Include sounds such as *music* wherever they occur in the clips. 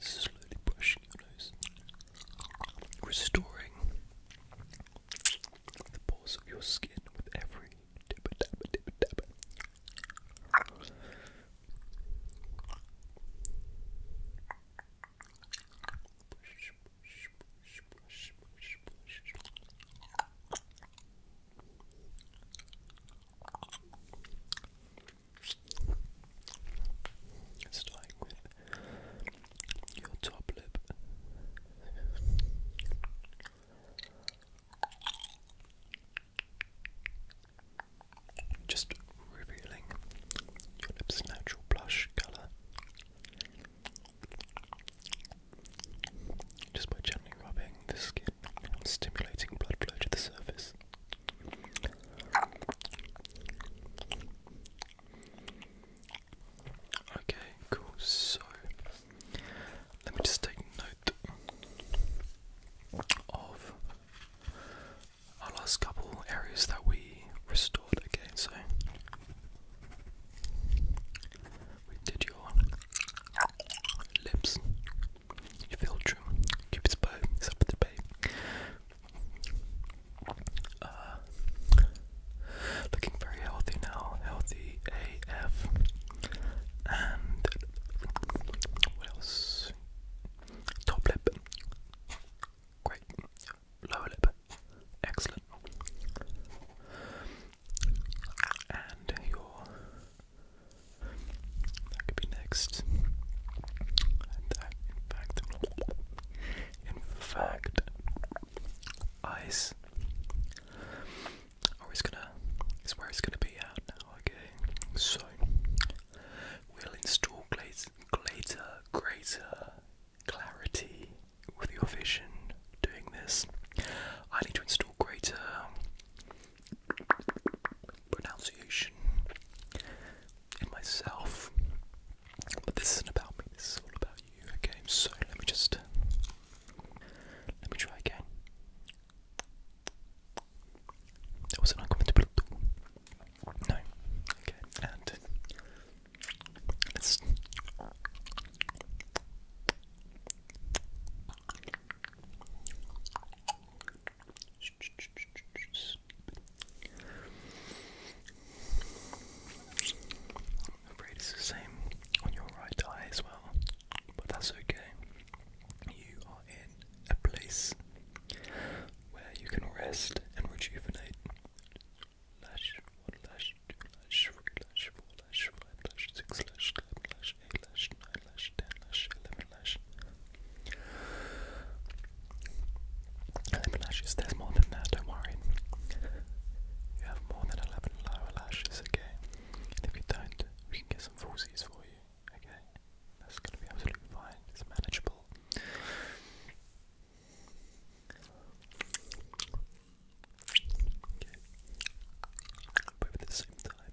Slowly brushing your nose, restoring the pores of your skin with every dibba dabba dibba dabba. Starting with your top lip. Just revealing your lips' natural blush colour. Just by gently rubbing the skin and stimulating blood flow to the surface. Okay, cool. So let me just take note of our last couple areas that we restored. Okay, so we did your lips, filter, Cupid's bow, it's up uh, looking very healthy now, healthy AF. And what else? Top lip, great. Lower lip, excellent and your that could be next. in fact, in fact, eyes. Or oh, it's gonna, it's where it's gonna be at now. Okay, so we'll install glazer, glazer, greater clarity with your vision. Doing this, I need to install greater pronunciation in myself. But this isn't about me, this is all about you, okay? So let me just. Let me try again. That was an uncomfortable. No. Okay, and. Let's. I'm afraid it's the same on your right eye as well, but that's okay. You are in a place where you can rest and rejuvenate. 5 6 lash, 7 lash, 8 lash, 9 lash, 10 lash, 11 lash. lashes, there's more than that, don't worry. You have more than 11 lower lashes, okay? if you don't, we can get some falsies for you, okay? That's gonna be absolutely fine, it's manageable. Okay. But at the same time,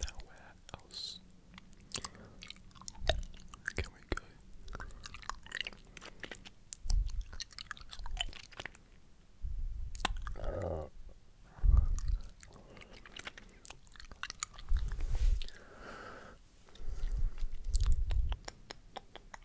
Now, where else can we go?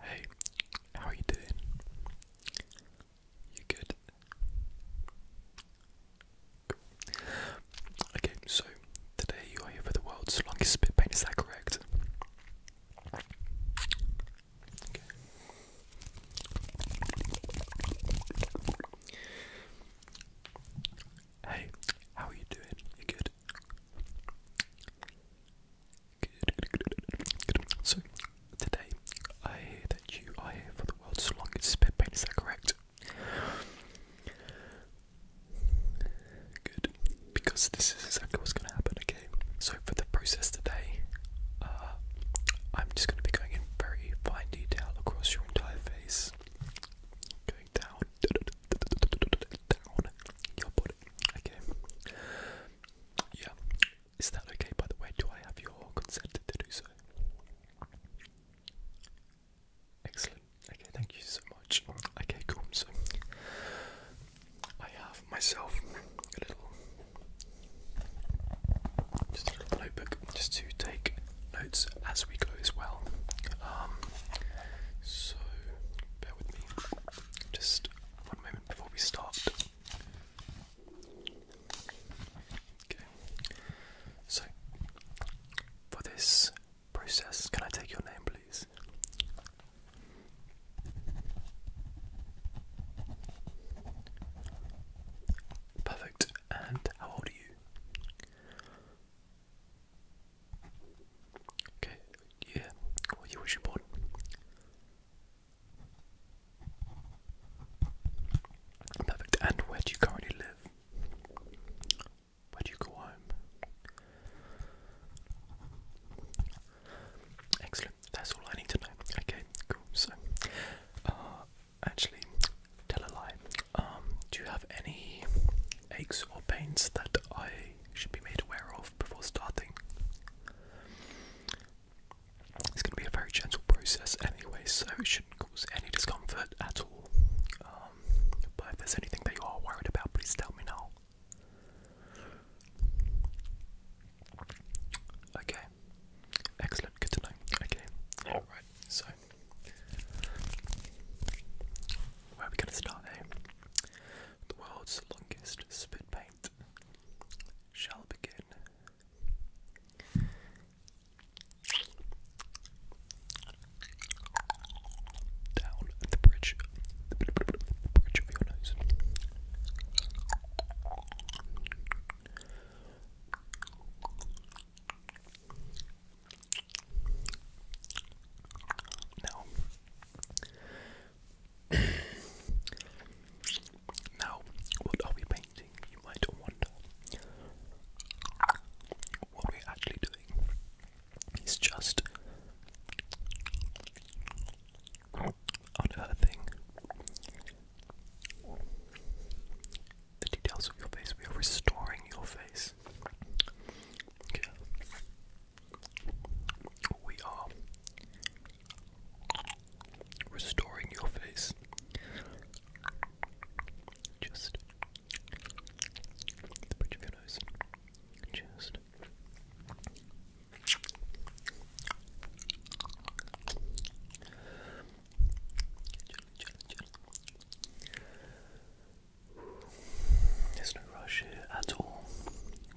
Hey, how are you doing? You good? Okay, so today you are here for the world's longest spit Pain is that correct? Hey, how are you doing? You good? Good, good, good, good, good. So, today I hear that you are here for the world's longest spit paint, is that correct? Good, because this is exactly what's going to happen, again so for the process today, uh, I'm just going to be going in very fine detail across your entire face, going down, down your body. Okay, yeah. Is that okay? By the way, do I have your consent to do so? Excellent. Okay, thank you so much. Okay, cool. So, I have myself a little, just a little notebook just to take notes as we go as well. Um, so bear with me. Just one moment before we start. Okay. So for this process, can I take your name, please? Perfect. And how old are you? Okay, yeah. What year was you born? Perfect. And where do you currently live? Where do you go home? Excellent. That's all I need to know. Okay, cool. So, uh, actually, tell a lie. Um, do you have any aches or pains that I should be made aware of before starting? It's going to be a very gentle process anyway, so it shouldn't cause any discomfort at all. Um, but if there's anything that you are worried about, please tell me now. Okay. Excellent. Good to know. Okay. All oh. right. So, where are we going to start? Eh? The world's longest spit paint shall begin. Down the bridge, the bridge of your nose. No. *coughs* now, what are we painting? You might wonder. What we're actually doing is just on The details of your face, we are restoring your face. We are restoring your face. Just the bridge of your nose. Just there's no rush here at all.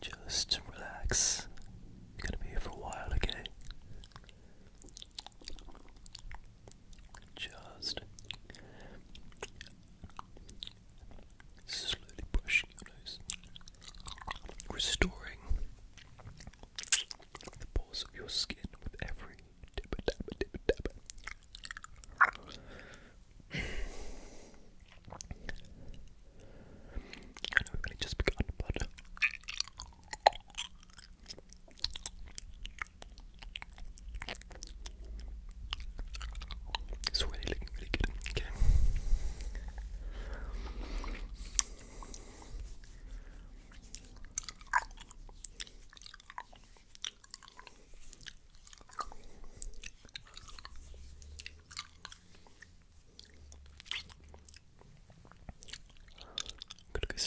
Just relax. You're gonna be here for a while, okay? Just slowly brushing your nose restoring the pores of your skin with every dibba dabba dibba dabba. I we've only just begun, but it's already really good. Okay i you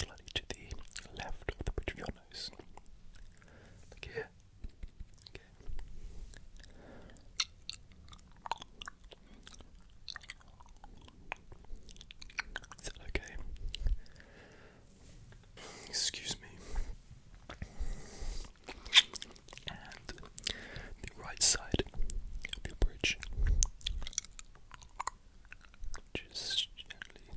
going to the left of the bridge of your nose. Like here okay? Excuse me. And the right side of your bridge. Just gently.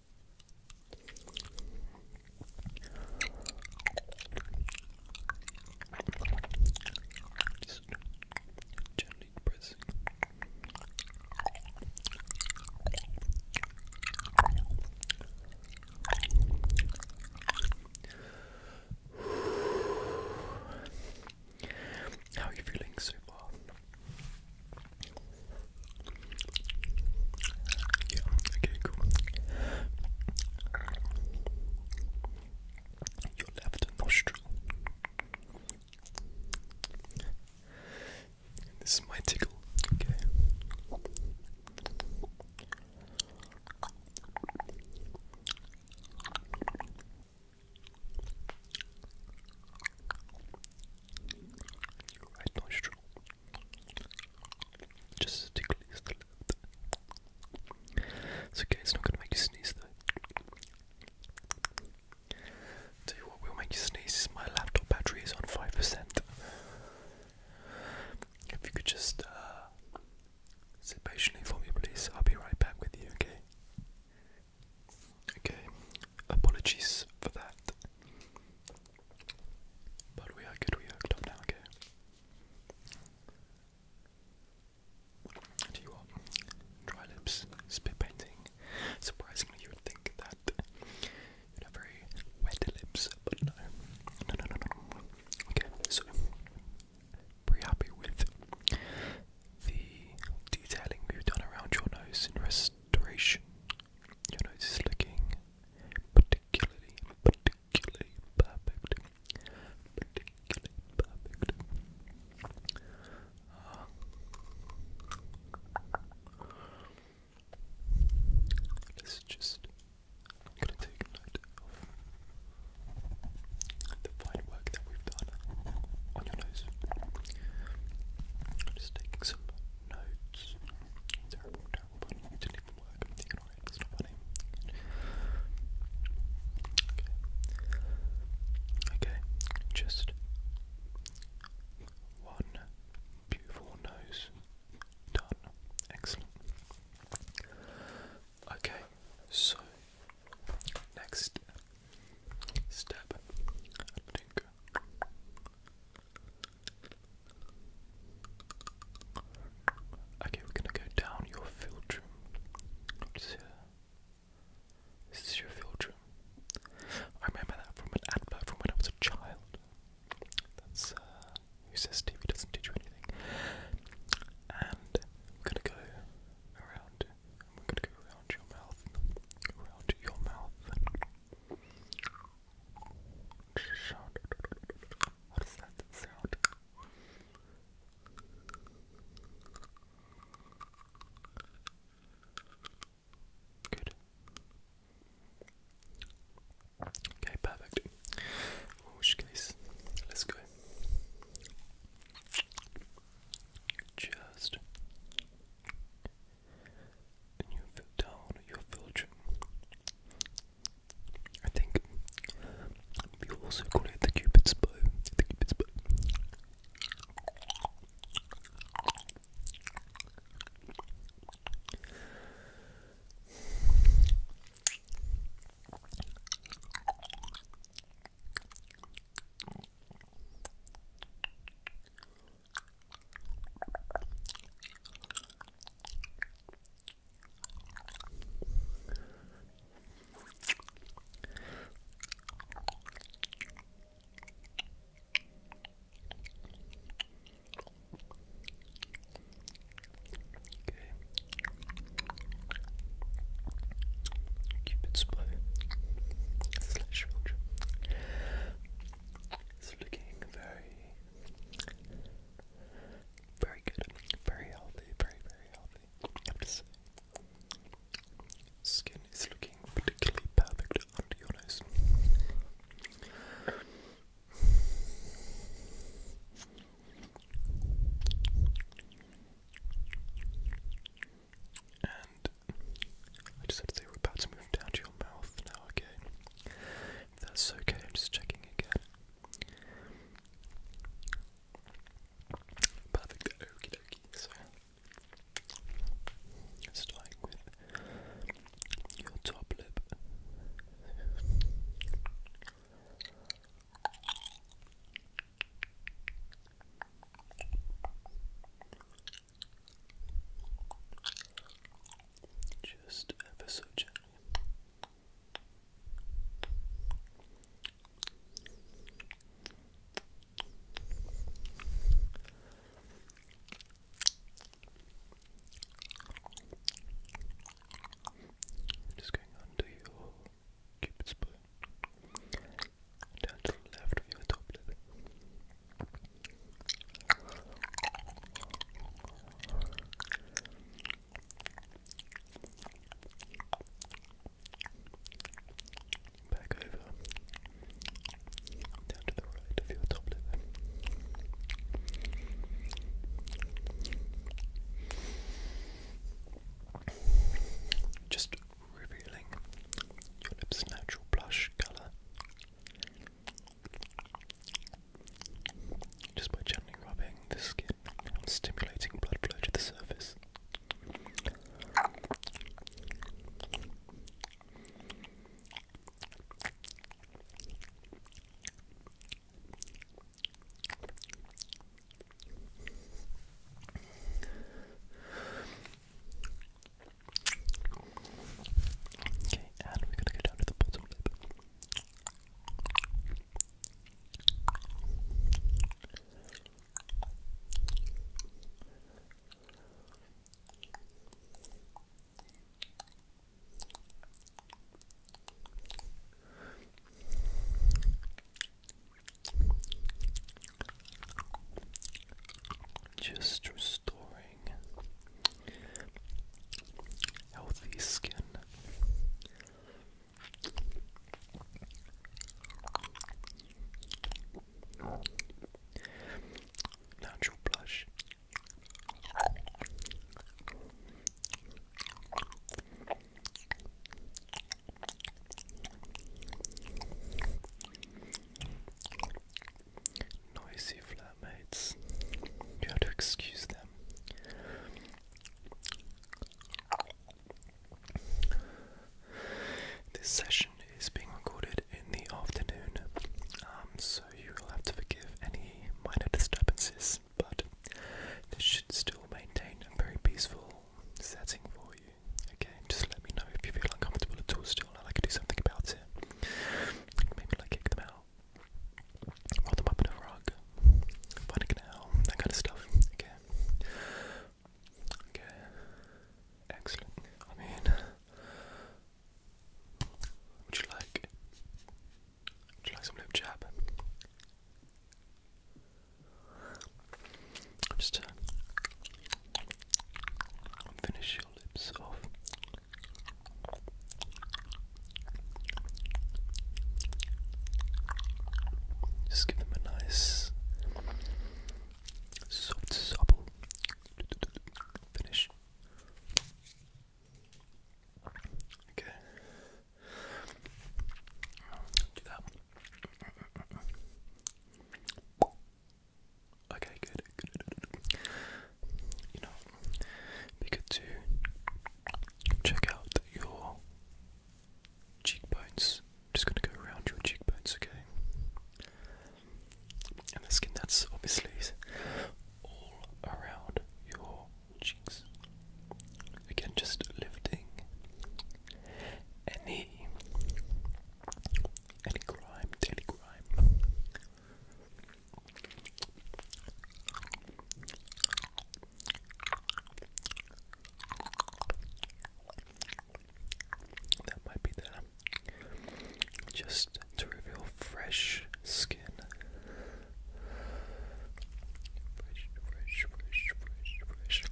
*sighs* How are you feeling so far? left nostril. This is my tickle, okay. Right nostril. Just as tickly as the It's okay, it's not going to make you sneeze though. Tell you what will make you sneeze is my laptop battery is on 5%. If you could just uh, sit patiently for me, please, I'll be right back with you, okay? Okay, apologies for that. But we are good, we are up now, okay? Do you want dry lips, spit painting? Surprisingly, you would think that you'd very wet lips, but no. No, no, no, no. Okay, so pretty happy with the detailing we've done around your nose and restoration your nose is looking particularly, particularly perfect. Particularly perfect. let's just. gonna take note of the fine work that we've done on your nose. I'm just taking some notes. Terrible, terrible, but Okay. Okay, just one beautiful nose. Done. Excellent. Okay, so next step. Okay, we're gonna go down your filtrum. This is your filtrum. I remember that from an advert from when I was a child. That's uh, who says TV doesn't teach you anything. And we're gonna go around. We're gonna go around your mouth. Around your mouth. Sound. What is that sound? Good. Okay, perfect. In let's go. Just and you fill down your filter I think you also call it the Cupid's bow. The Cupid's bow. Okay. Cupid's bow slash It's looking very very good. Very healthy. Very, very healthy. I have to say. Skin is looking particularly perfect under your nose. And I just have to say we're about to move down to your mouth now, okay? that's okay, I'm just checking again. Perfect. Okie dokie. So, starting with your top lip just ever so gently. Just going under your cupid's bow, down to the left of your top lip. Back over, down to the right of top lip. Just revealing your lips' natural blush colour. Just by gently rubbing the skin and stimulating blood flow to the surface. Okay, and we're going to go down to the bottom lip. Just restoring healthy skin. Natural blush. Noisy flavor their mates. to excuse them. This session is being recorded in the afternoon, um, so you will have to forgive any minor disturbances, but this should still maintain a very peaceful setting for you. Okay, just let me know if you feel uncomfortable at all still and I can do something about it. Maybe like kick them out roll them up in a frog, find a canal, that kind of stuff. Okay. Excellent. I mean, would you like? Would you like some lip jab? Just finish your lips off. Just give them a nice soft, supple finish. Okay. Do Okay, good. good you know, be good to check out your cheekbones. just going to go around your cheekbones, okay? And the skin that's obviously all around your cheeks. Again, just lifting any any grime, daily grime that might be the just to reveal fresh skin. Fresh, fresh, fresh, fresh, fresh.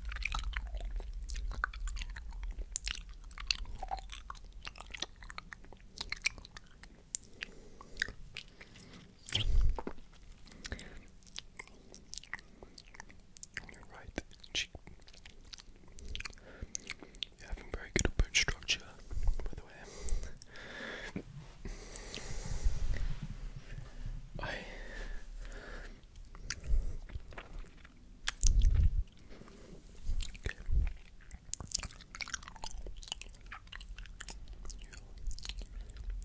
On your right You're having very good bone structure, by the way. I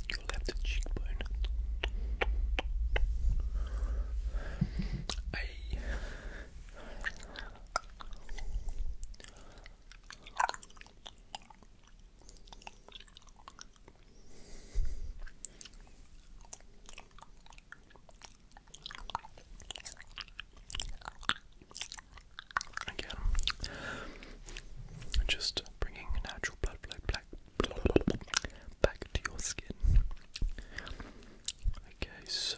your left cheekbone. I Again, just bringing natural blood flow back, back to your skin. Okay, so.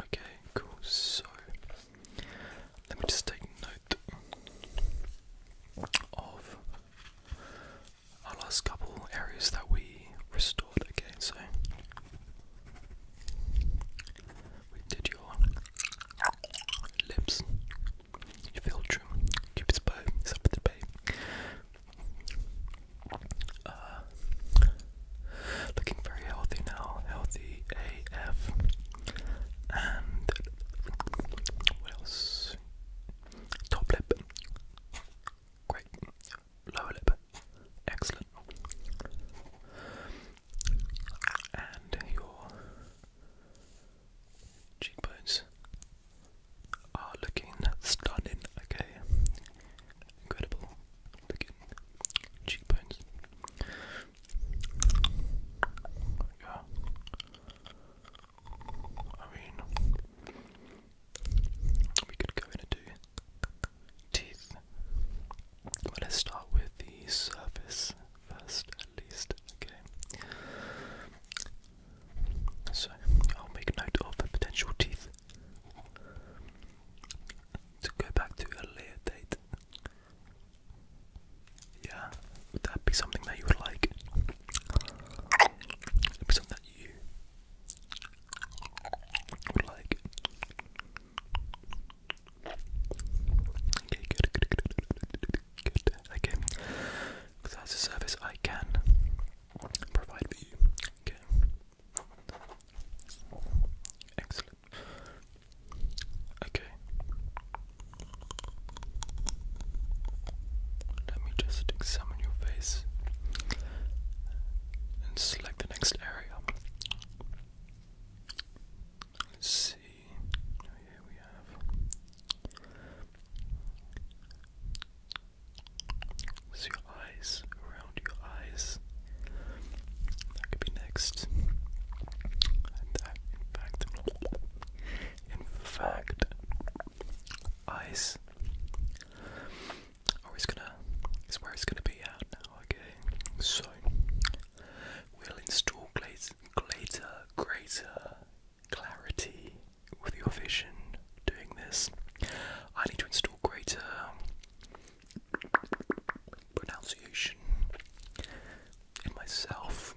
Okay, cool. So let me just take note of our last couple areas that we restored. Okay, so we did your lips, your filtrum, cupid's bow, up with the bay, uh, looking very healthy now, healthy AF. And what else? Top lip, great. Lower lip, excellent. And your cheekbones, are ah, looking stunning, okay? Incredible looking cheekbones. Yeah. I mean, we could go in teeth. But let's start with the surface first, at least, okay? So I'll make note of the potential teeth to go back to a later date. Yeah, would that be something that you would like? Would be something that you would like? Okay, good, good, good, good, good. Okay, because that's a service I can provide for Okay. Excellent. Okay. Let me just examine your face and select the next area. Let's see. Here we have so your eyes, around your eyes. That could be next. in fact, eyes. Or oh, it's gonna, it's where it's gonna be at now. Okay, so we'll install glaze, glater, greater clarity with your vision doing this. I need to install greater pronunciation in myself.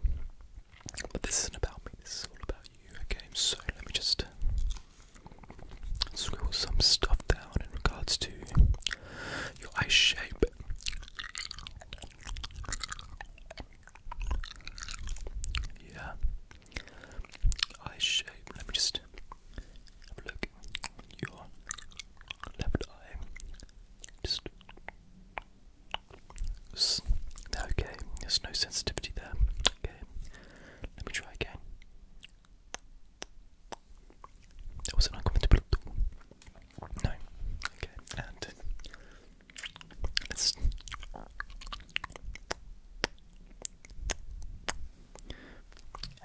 But this isn't about me, this is all about you. Okay, so let me just scribble some stuff down in regards to your eye shape. Yeah, Eye shape. Let me just have a look. Your left eye. Just. Okay, there's no sensitivity there. Okay, let me try again. That wasn't uncomfortable No. Okay, and let's.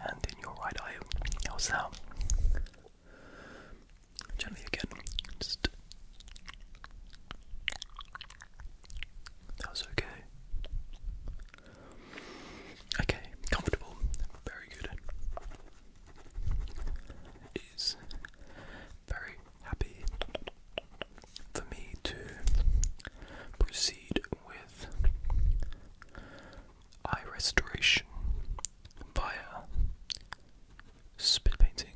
And in your right eye, how's that? Gently again, just. That's okay. Okay, comfortable, very good. Is very happy for me to proceed with eye restoration via spit painting.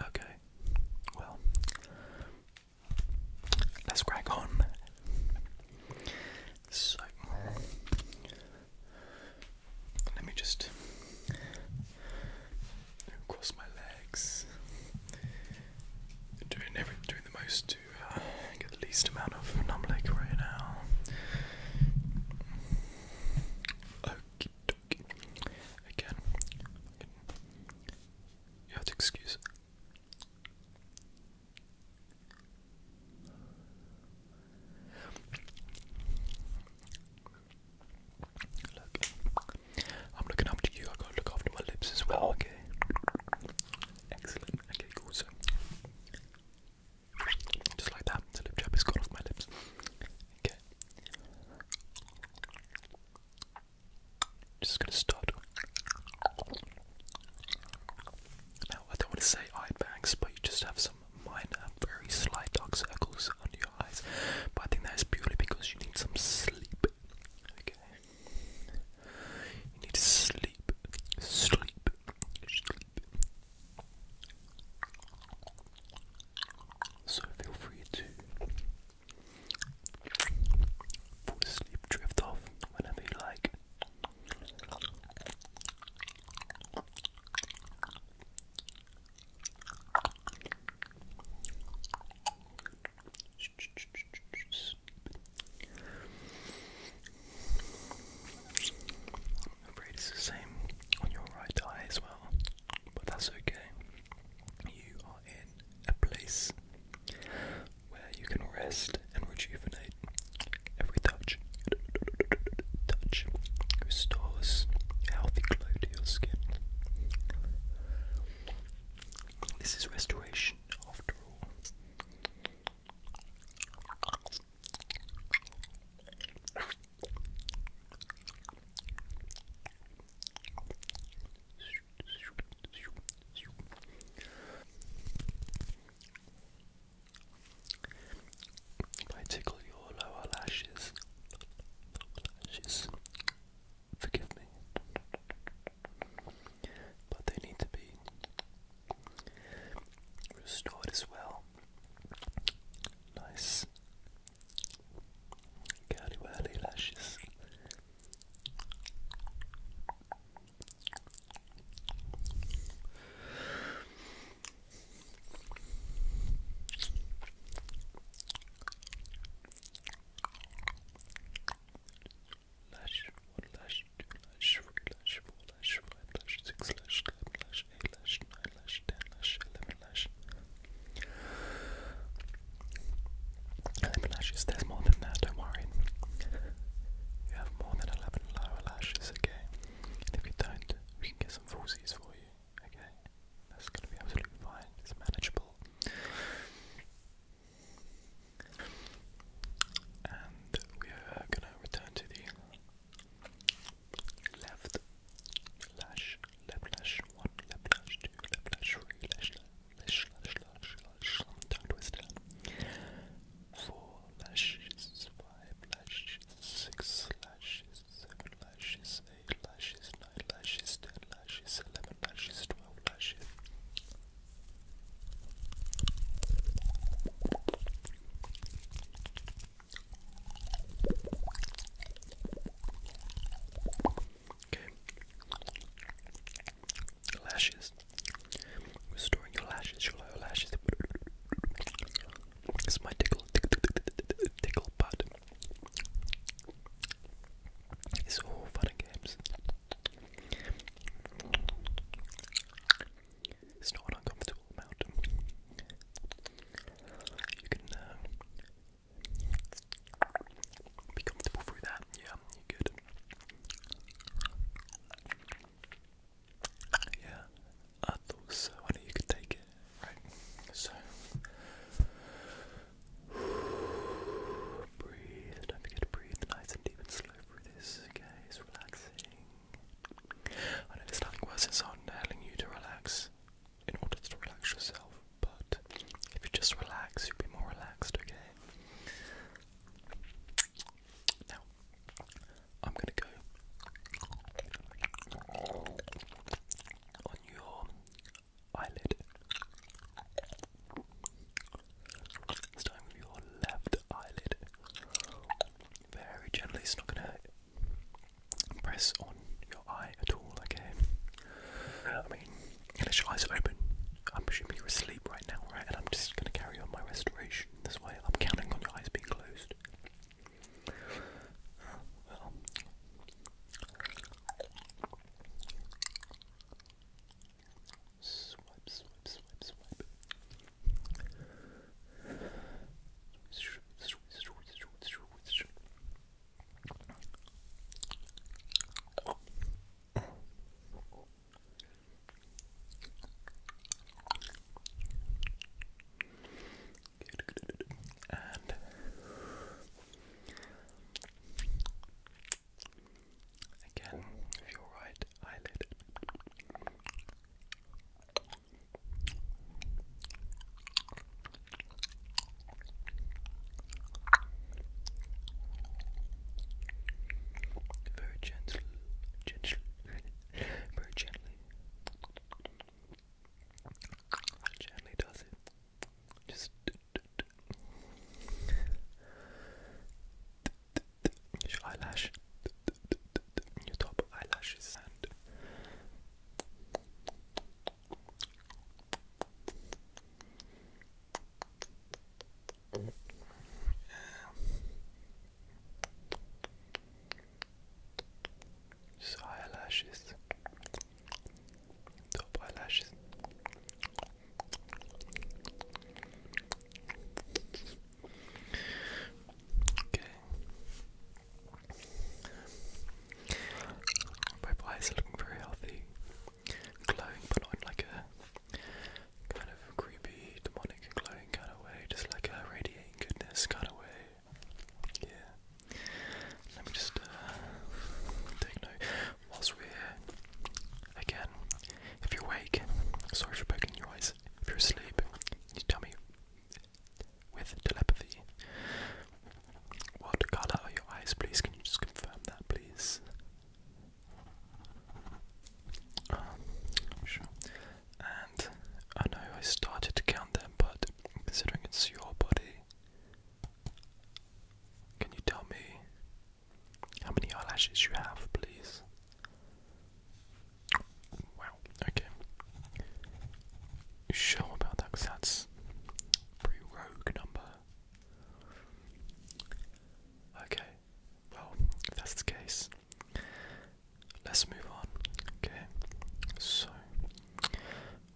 Okay, well, let's crack on. So, let me just cross my legs. Doing every, doing the most to uh, get the least amount of numb leg right now. Okie Again, you excuse. I'm looking up to you. I have gotta look after my lips as well. Oh. Okay. Excellent. Okay, cool. So, just like that, the lip chap is gone off my lips. Okay. Just gonna start. Now, I don't want to say eye bags, but you just have some minor, very slight dark circles under your eyes, but I think that is purely because you need some sleep. Okay, you need to sleep, sleep, sleep. So feel free to fall asleep, drift off whenever you like. I'm afraid it's the same on your right eye as well, but that's okay. You are in a place where you can rest and rejuvenate every touch touch restores healthy glow to your skin. This is restoration after all. I tickle your lower lashes, lashes, forgive me. But they need to be restored as well. Nice curly whirly lashes. Lash, one lash, two lash, three lash, four lash, five lash, six lash, seven lash, eight lash, nine lash, ten lash, eleven lash. Eleven lashes, there's more than that, don't worry. You have more than eleven lower lashes, okay? And if you don't, we can get some falsies for you. Okay, that's gonna be absolutely fine. It's manageable. And we are gonna return to the left lash, left lash one, left lash two, left lash three, lash lash, lash lash, lash, tongue twister. Four lashes, five lashes, six lashes, lashes, seven lashes, eight lashes, nine lashes, ten lashes, eleven lashes, twelve lashes. Okay. Lashes. Restoring your lashes, your lashes. This my tickle, tickle, tickle, tickle pot. It's all fun games. It's not uncomfortable amount. You can uh, be comfortable through that. Yeah, good. Yeah, I thought so. I knew you could take it. Right. So *sighs* breathe. Don't forget to breathe nice and deep and slow through this. Okay, it's relaxing. I know there's nothing worse than someone telling you to relax in order to relax yourself, but if you just relax, you'll be more relaxed, okay? Now, I'm gonna go on your eyelid. Starting with your left eyelid. Very gently, it's not gonna press on your eye at all, okay? I mean, unless your eyes are open, I'm assuming you're asleep right now, right? And I'm just gonna carry on my restoration this way. I'm counting on your eyes being closed. Well. Swipe, swipe, swipe, swipe. And again, with right eyelid. Very gentle, gentle, very gently. Gently does it. Just eyelash, your top eyelashes, and just eyelashes, top eyelashes. Okay. My eyes are looking very healthy, glowing, but not like a kind of creepy, demonic glowing kind of way, just like a radiating goodness kind of way. Yeah. Let me just uh, take note. Whilst we're again, if you're awake, sorry for poking your eyes. If you're asleep, you tell me with telepathy. What colour are your eyes, please? Can you just confirm that, please? Um, sure. And I know I started to count them, but Considering it's your body, can you tell me how many eyelashes you have, please? Wow, okay. You about that? Because that's a pretty rogue number. Okay, well, if that's the case, let's move on. Okay, so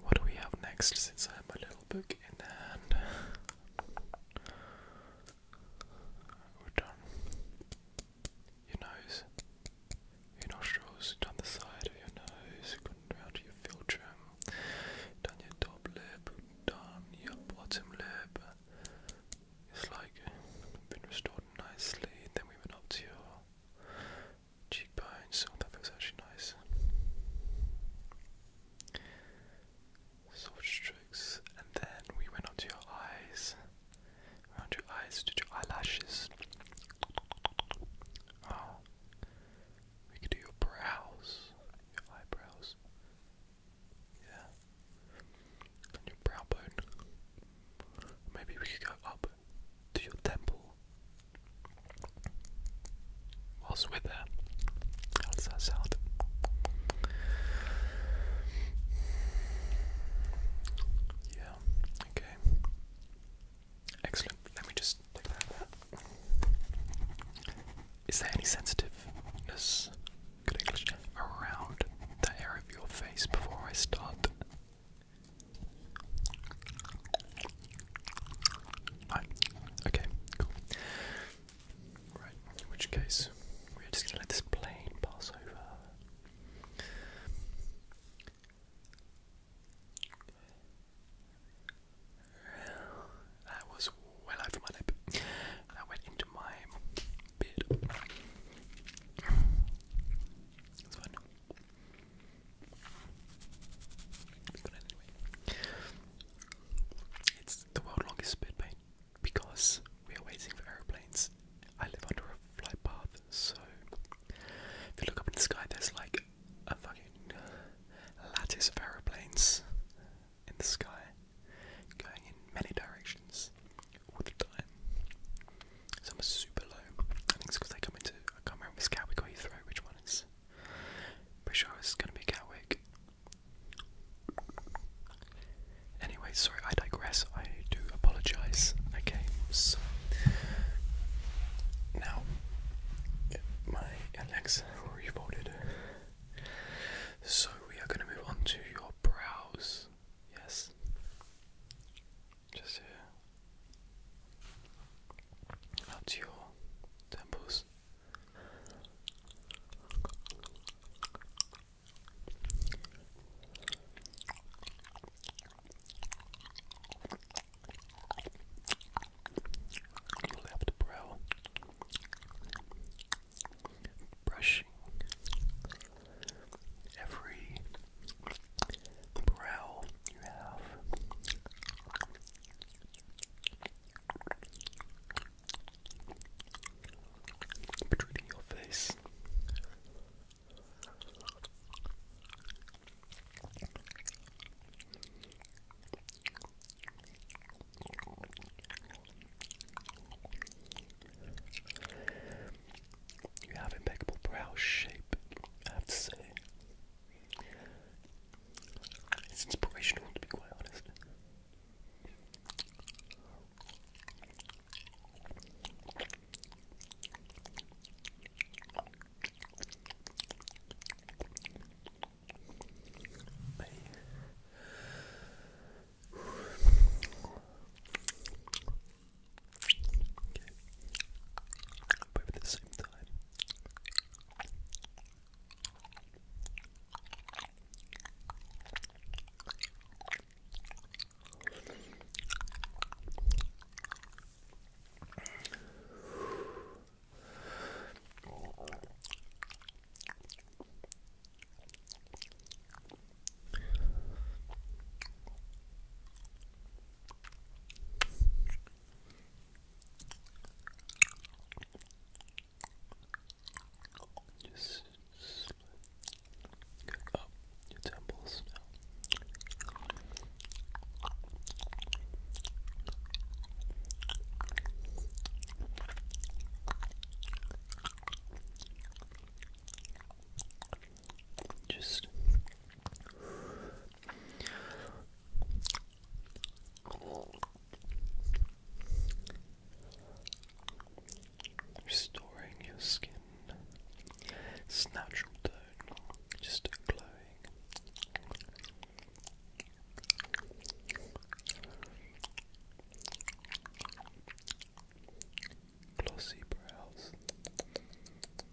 what do we have next since I have a little book in hand? done. Your nose. Your nostrils, down the side of your nose, going your filter, down your top lip, down your bottom lip. It's like been restored nicely. Then we went up to your cheekbones. Oh, that feels actually nice. Soft strokes, and then we went on your eyes. Around your eyes, did your eyelashes. Oh, we could do your brows, your eyebrows. Yeah, and your brow bone. Maybe we could go up to your temple was with her. How does that sound? Yeah, okay. Excellent. Let me just take that there any sensitiveness around the area of your face before I start Right. Okay, cool. Right, in which case we're just gonna let this plane pass over. That was well over my lip. That went into my bid. That's fine. It's the world's longest speed paint because we are waiting for aeroplanes. I live under a flight path, so if you look up in the sky, there's like a fucking lattice of aeroplanes in the sky going in many directions all the time. It's are super low. I think it's because they come into. I can't remember if it's got or Heathrow, which one is. Pretty sure it's going to be Catwick. Anyway, sorry, I digress. I do apologise. Okay, so. Now, my Alexa revolted. So we are going to move on to your brows. Yes just here, up your temples. Left brow brushing every brow you have. Between your face. You have impeccable brow shape, I have to say. It's inspirational, to be quite honest. Okay. Both at the same time. Just going up your temples now. Just Restoring your skin, it's natural tone, just glowing. Glossy brows.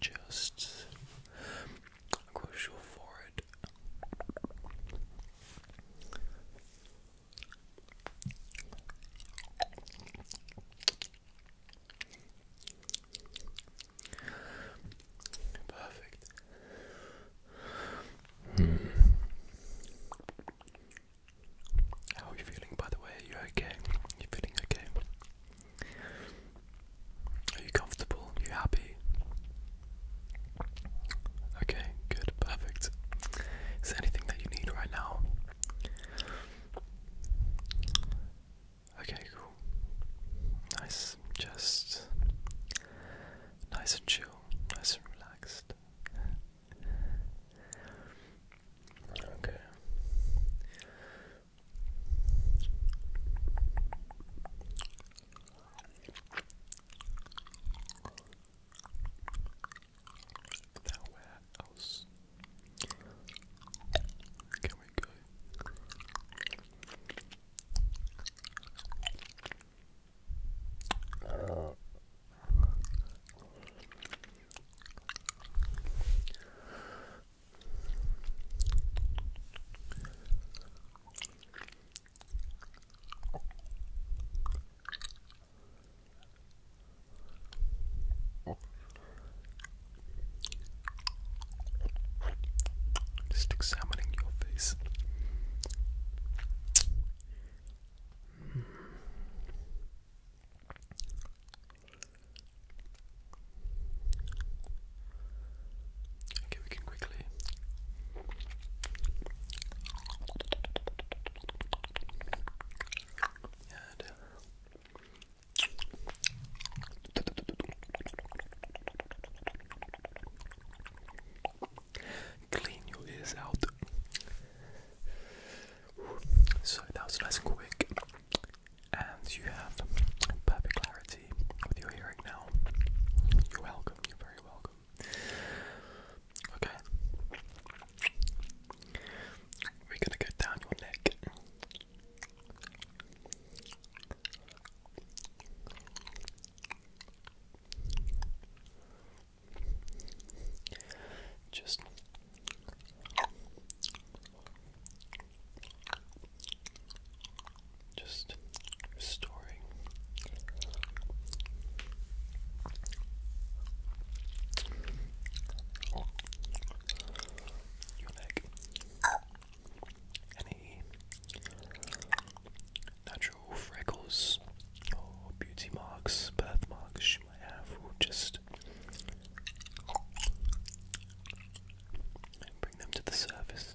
just crucial for it. Perfect. Hmm. How are you feeling, by the way? you okay? You feeling okay? Are you comfortable? Are you happy? Okay, good, perfect. Is there anything that you need right now? Okay, cool. Nice, just nice and chill, nice and relaxed. Okay. Now, where else can we go? Just examining your face. Okay, we can quickly Clean your ears out. So that was nice and quick and you have perfect clarity with your hearing now. You're welcome, you're very welcome. Okay. We're gonna go down your neck. Just just restoring. Your neck. Any natural freckles beauty marks, birthmarks you have just and bring them to the surface.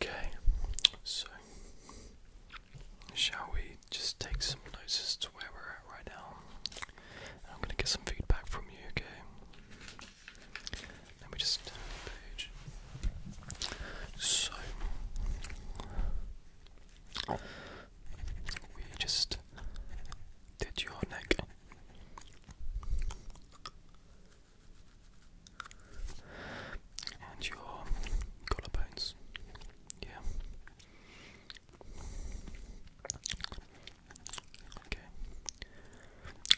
Okay, so shall we just take some notes as to where we're at right now. I'm gonna get some feedback from you, okay? Let me just page. So we just did your neck. And your collarbones. Yeah. Okay.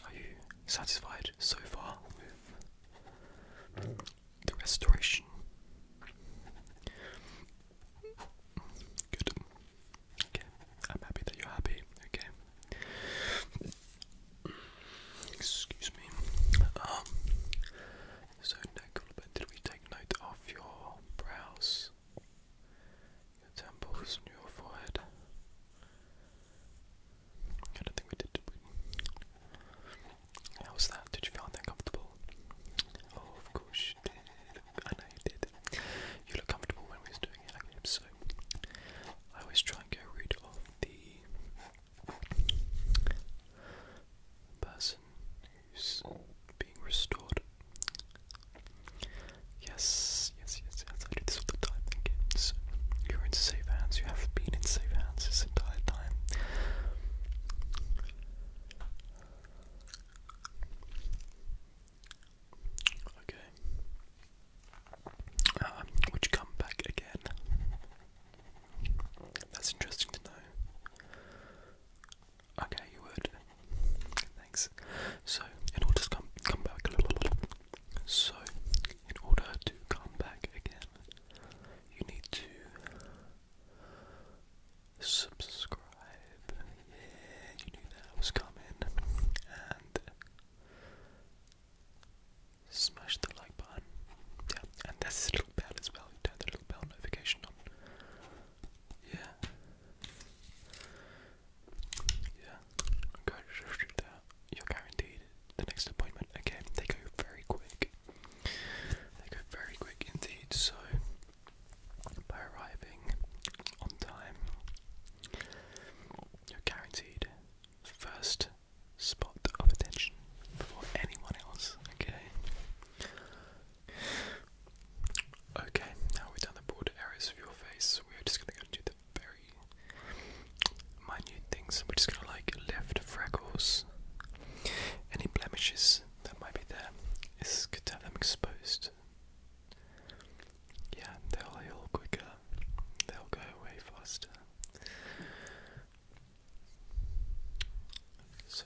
Are you satisfied so far with the restoration? Good. Okay. I'm happy that you're happy. Okay. Excuse me. Um, so neck a Did we take note of your brows, your temples, and your forehead? I don't think we did. How was that? Did you feel uncomfortable? Oh, of course I know you did. You look comfortable when we was doing it. so I always try and get rid of the person being restored. Yes, yes, yes, I do this all the time, thank you. are in safe hands, you have been in safe hands this entire time. Okay. Uh, would you come back again? That's interesting to know. Okay, you would. Thanks. So, in order to come come back a So, in order to come back again, you need to subscribe. Yeah, you knew that was coming. And smash the like button. Yeah, and that's little bad as well turn the little bell notification on. Yeah. Yeah. Go You're guaranteed the next appointment. Again, they go very quick. They go very quick indeed, so by arriving on time, you're guaranteed first spot of attention before anyone else, okay? Okay, now we've done the broad areas of your face, we're just gonna go do the very minute things. We're just gonna like lift freckles, any blemishes that might be there. It's good to have them exposed. Yeah, they'll heal quicker, they'll go away faster. So,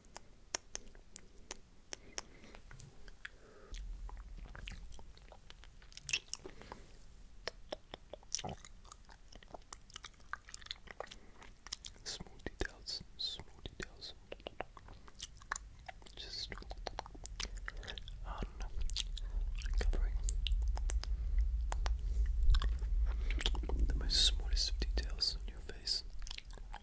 Smoothie details, smoothie details. Just on covering the most smallest of details on your face.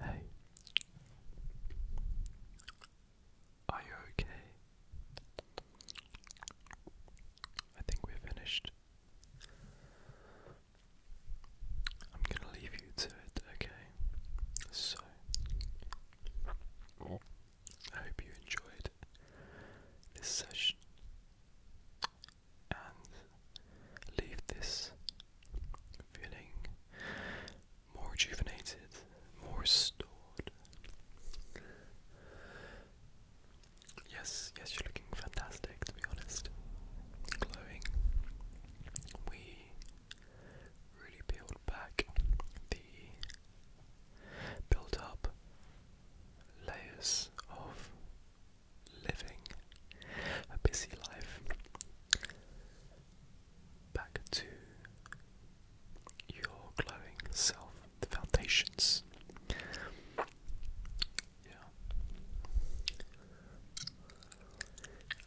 Hey, are you okay? I think we're finished. I'm gonna leave you to it, okay? So, I hope you enjoyed this session and leave this feeling more rejuvenated, more stored. Yes, yes, you're looking fantastic to be honest. Glowing. We really peeled back the built up layers of living a busy life back to your glowing self, the foundations. Yeah.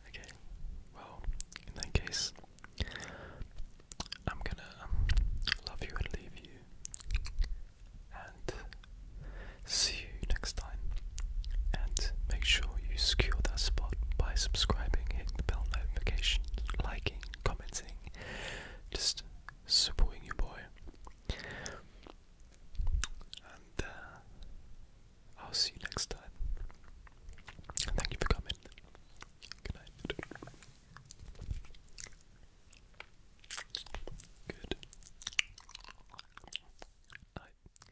Okay. Well, in that case, I'm gonna um, love you and leave you, and see you next time. And make sure you secure that spot by subscribing, hitting the bell notification, liking, commenting, just supporting your boy. And uh, I'll see you next time. Thank you for coming. Good night. Good night.